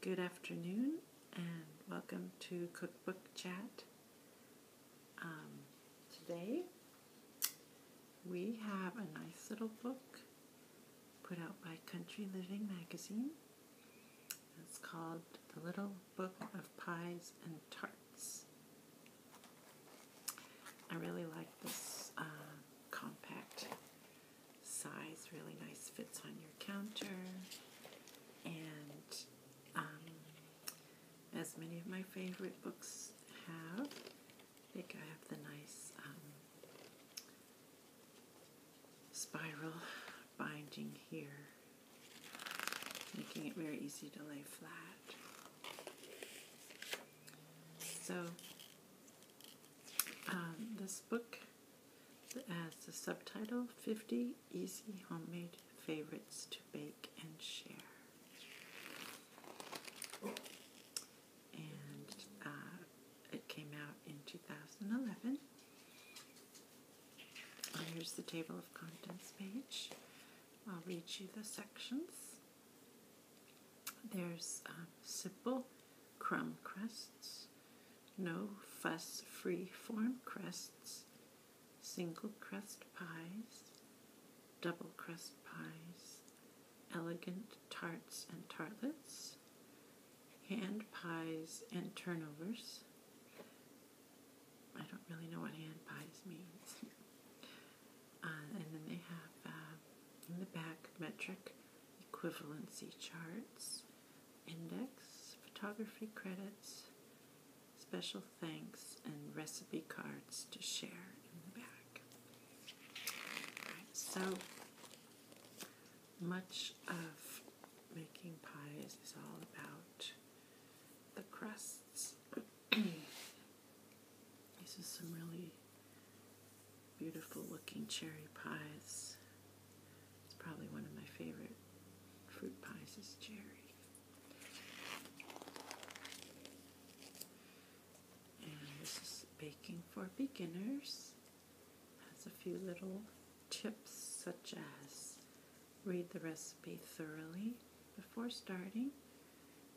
Good afternoon and welcome to Cookbook Chat. Um, today we have a nice little book put out by Country Living Magazine. It's called The Little Book of Pies and Tarts. I really like this uh, compact size, really nice, fits on your counter. And um, as many of my favorite books have, I think I have the nice um, spiral binding here, making it very easy to lay flat. So um, this book has the subtitle 50 Easy Homemade Favorites to Bake and Share. And uh, it came out in 2011. here's the table of contents page. I'll read you the sections. There's uh, simple crumb crusts, no fuss free form crusts, single crust pies, double crust pies, elegant tarts and tartlets, hand pies and turnovers. I don't really know what hand pies means. Uh, and then they have uh, in the back metric equivalency charts, index, photography credits, special thanks, and recipe cards to share in the back. so much of making pies is all about the crusts. This is some really beautiful looking cherry pies. It's probably one of my favorite fruit pies is cherry. And this is baking for beginners. Has a few little tips such as read the recipe thoroughly before starting.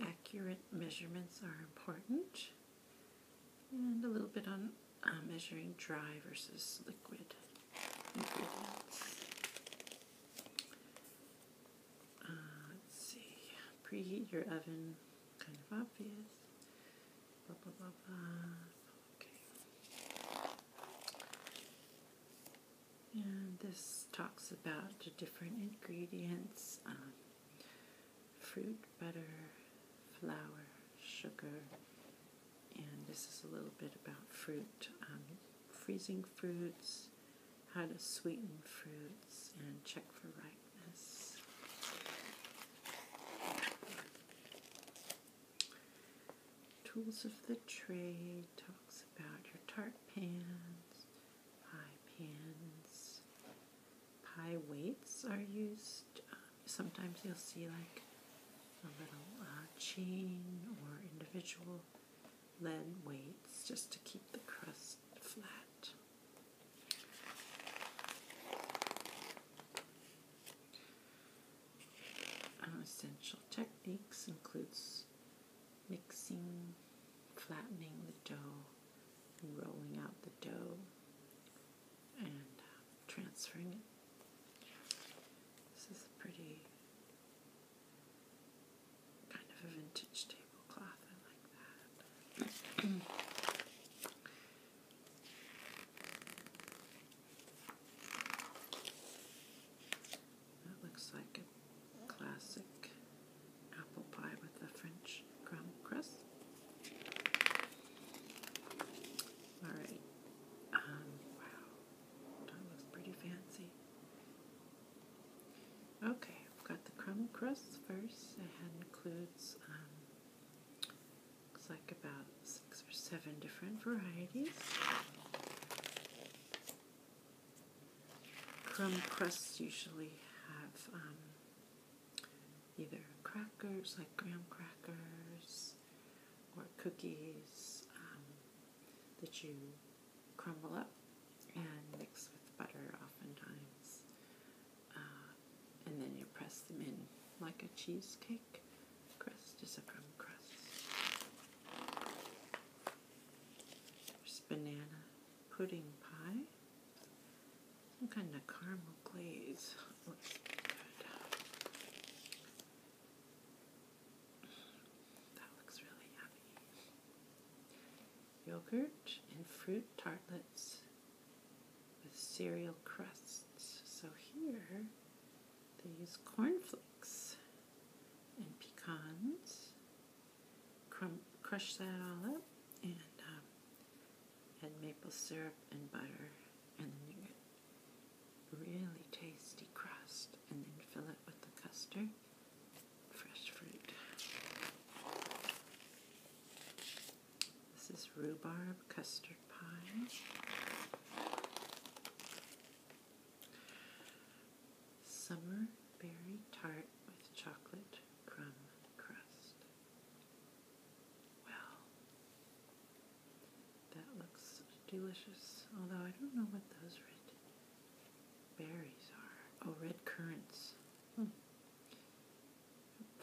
Accurate measurements are important. And a little bit on uh, measuring dry versus liquid ingredients. Uh, let's see. Preheat your oven. Kind of obvious. Blah, blah, blah, blah. And this talks about the different ingredients, um, fruit, butter, flour, sugar, and this is a little bit about fruit, um, freezing fruits, how to sweeten fruits, and check for ripeness. Tools of the trade talks about your tart pans, pie pans, pie weights are used. Um, sometimes you'll see like a little uh, chain or individual lead weights just to keep the crust flat. Um, essential techniques includes mixing, flattening the dough, rolling out the dough and um, transferring it. This is a pretty kind of a vintage tablecloth. I like that. that looks like a classic apple pie with a French crumb crust. All right. Um, wow, that looks pretty fancy. Okay, I've got the crumb crust first. It includes um, looks like about six or seven different varieties. Crumb crusts usually have um, either crackers like graham crackers or cookies um, that you crumble up and mix with butter oftentimes. Uh, and then you press them in like a cheesecake crust is a crumb crust. There's banana pudding pie. Some kind of caramel glaze looks good. That looks really yummy. Yogurt and fruit tartlets with cereal crusts. So here they use cornflakes and pecans crush that all up, and um, add maple syrup and butter, and then you get really tasty crust, and then fill it with the custard, fresh fruit. This is rhubarb custard pie. Summer berry tart with chocolate crumb crust. Well, that looks delicious, although I don't know what those red berries are. Oh, red currants. Hmm.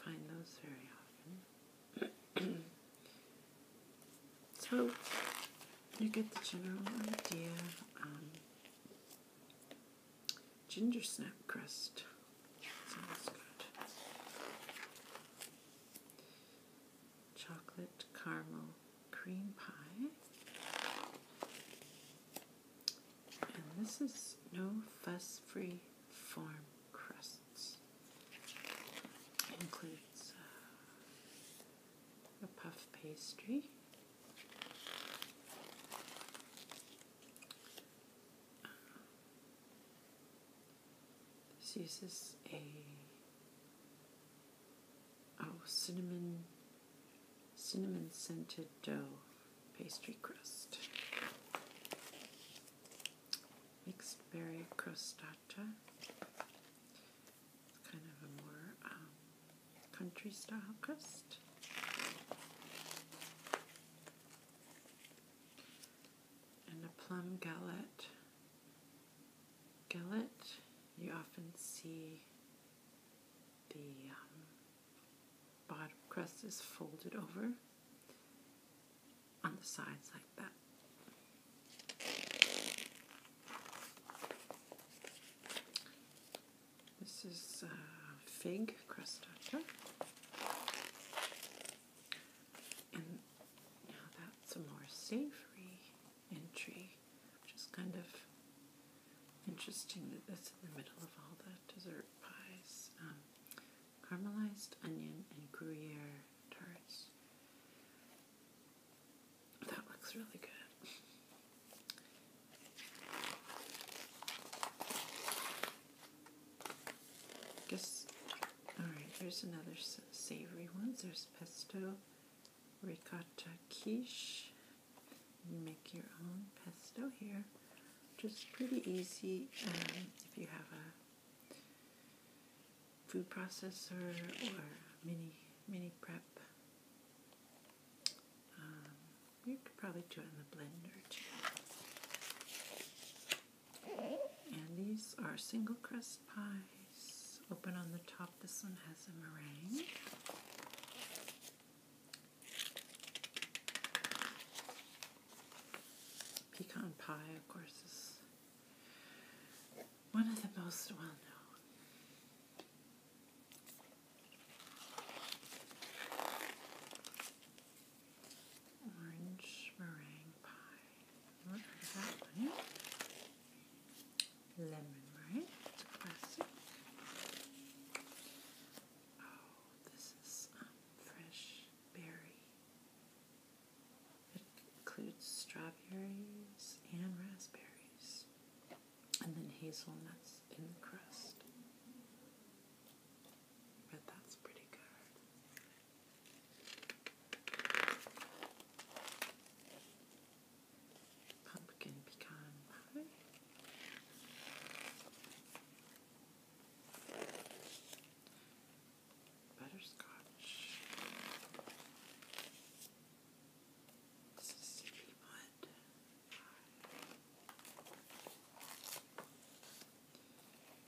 find those very often. so, you get the general idea. Um, ginger snap crust. Chocolate caramel cream pie. And this is no fuss free farm crusts. includes uh, a puff pastry, this uses a oh cinnamon cinnamon scented dough pastry crust. Mixed berry crostata. kind of a more um, country style crust. And a plum galette. Galette, you often see the um, bottom crust is folded over on the sides like that. This is uh, fig crustacea. And now that's a more savory entry, which is kind of interesting that that's in the middle of all the dessert pies. Um, caramelized onion and Gruyere tarts. That looks really good. Guess, alright, here's another savory one. There's pesto, ricotta quiche. make your own pesto here, Just pretty easy um, if you have a food processor or mini mini prep. Um, you could probably do it in the blender too. And these are single crust pies. Open on the top. This one has a meringue. Pecan pie, of course, is one of the most well known. Orange meringue pie. What is that one? Lemon, right? It's a classic. Oh, this is um, fresh berry. It includes strawberries and raspberries and then hazelnuts in the crust. But that's pretty good. Pumpkin pecan pie. Butterscotch one,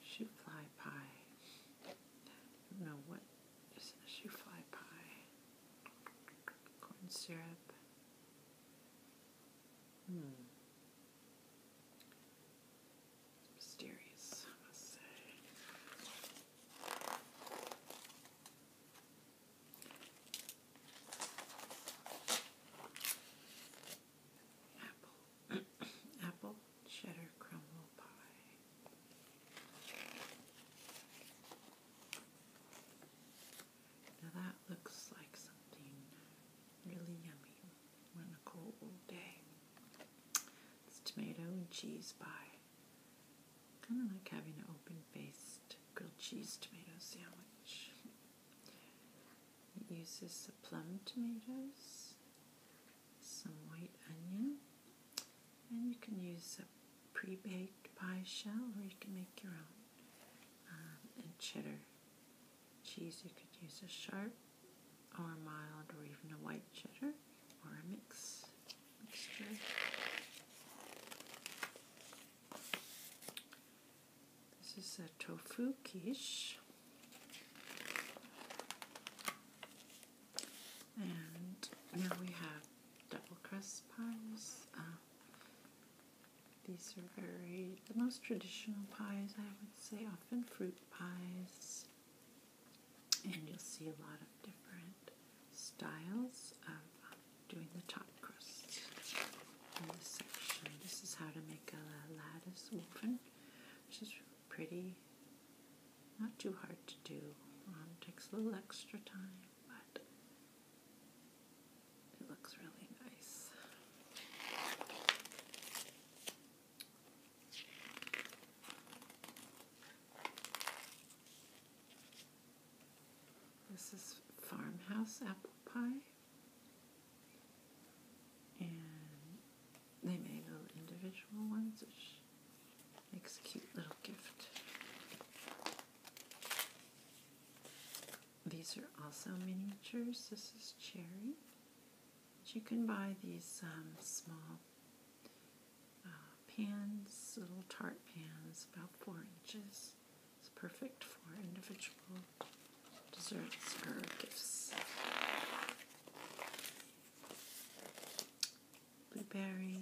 shoe fly pie. I what is a shoe fly pie. Corn syrup. Hmm. Mysterious, Apple, apple cheddar crumble pie. Now that looks like something really yummy on a cold day. It's tomato and cheese pie. Kind of like having an open faced grilled cheese tomato sandwich. It uses some plum tomatoes, some white onion, and you can use a pre baked pie shell or you can make your own. Um, and cheddar cheese, you could use a sharp or mild or even a white cheddar or a mix mixture. This is a tofu quiche. And now we have double crust pies. Uh, these are very, the most traditional pies, I would say, often fruit pies. And you'll see a lot of different styles of um, doing the top crust in this section. This is how to make a lattice woven, which is pretty, not too hard to do. Um, takes a little extra time, but it looks really nice. This is farmhouse apple pie. And they made little individual ones, which makes a cute little gift. These are also miniatures. This is cherry. you can buy these um, small uh, pans, little tart pans, about four inches. It's perfect for individual desserts or gifts. Blueberry.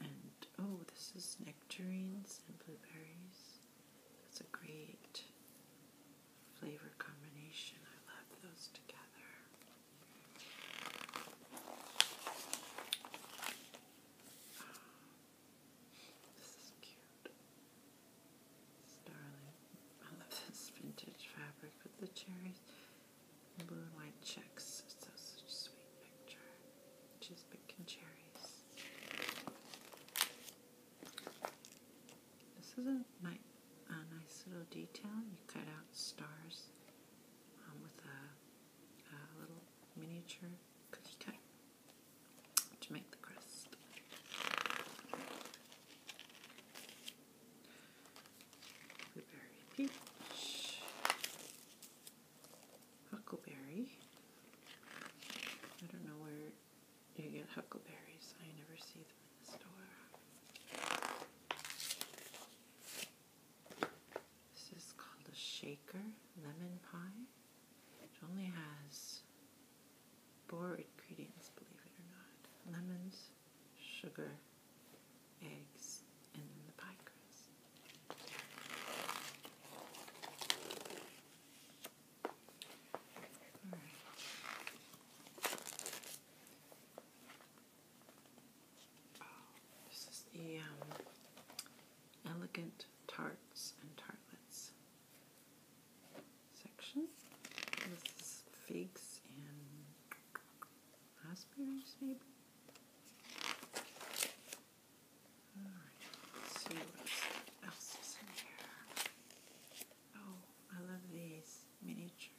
And oh, this is nectarines and blueberries. That's a great flavor combination. I love those together. This is cute. darling. I love this vintage fabric with the cherries blue and white checks. It's such a sweet picture. She's picking cherries. This is a nice, a nice little detail. You cut out stars um, with a little miniature cookie cutter to make the crust. Blueberry peach, huckleberry. I don't know where you get huckleberries. I never see them in the store. This is called a shaker lemon pie. It only has four ingredients, believe it or not. Lemons, sugar, eggs, and the pie crust this is the um, Elegant Tarts and Tartlets section. This is figs and raspberries, maybe. Alright, see what else is in here. Oh, I love these miniature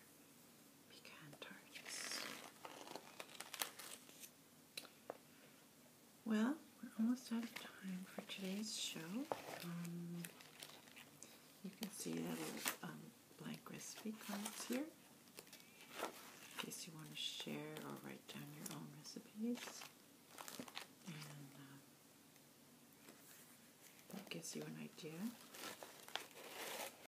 well, we're almost out of time for today's show. Um, you can see that little um, blank recipe cards here in case you want to share or write down your own recipes. And uh, that gives you an idea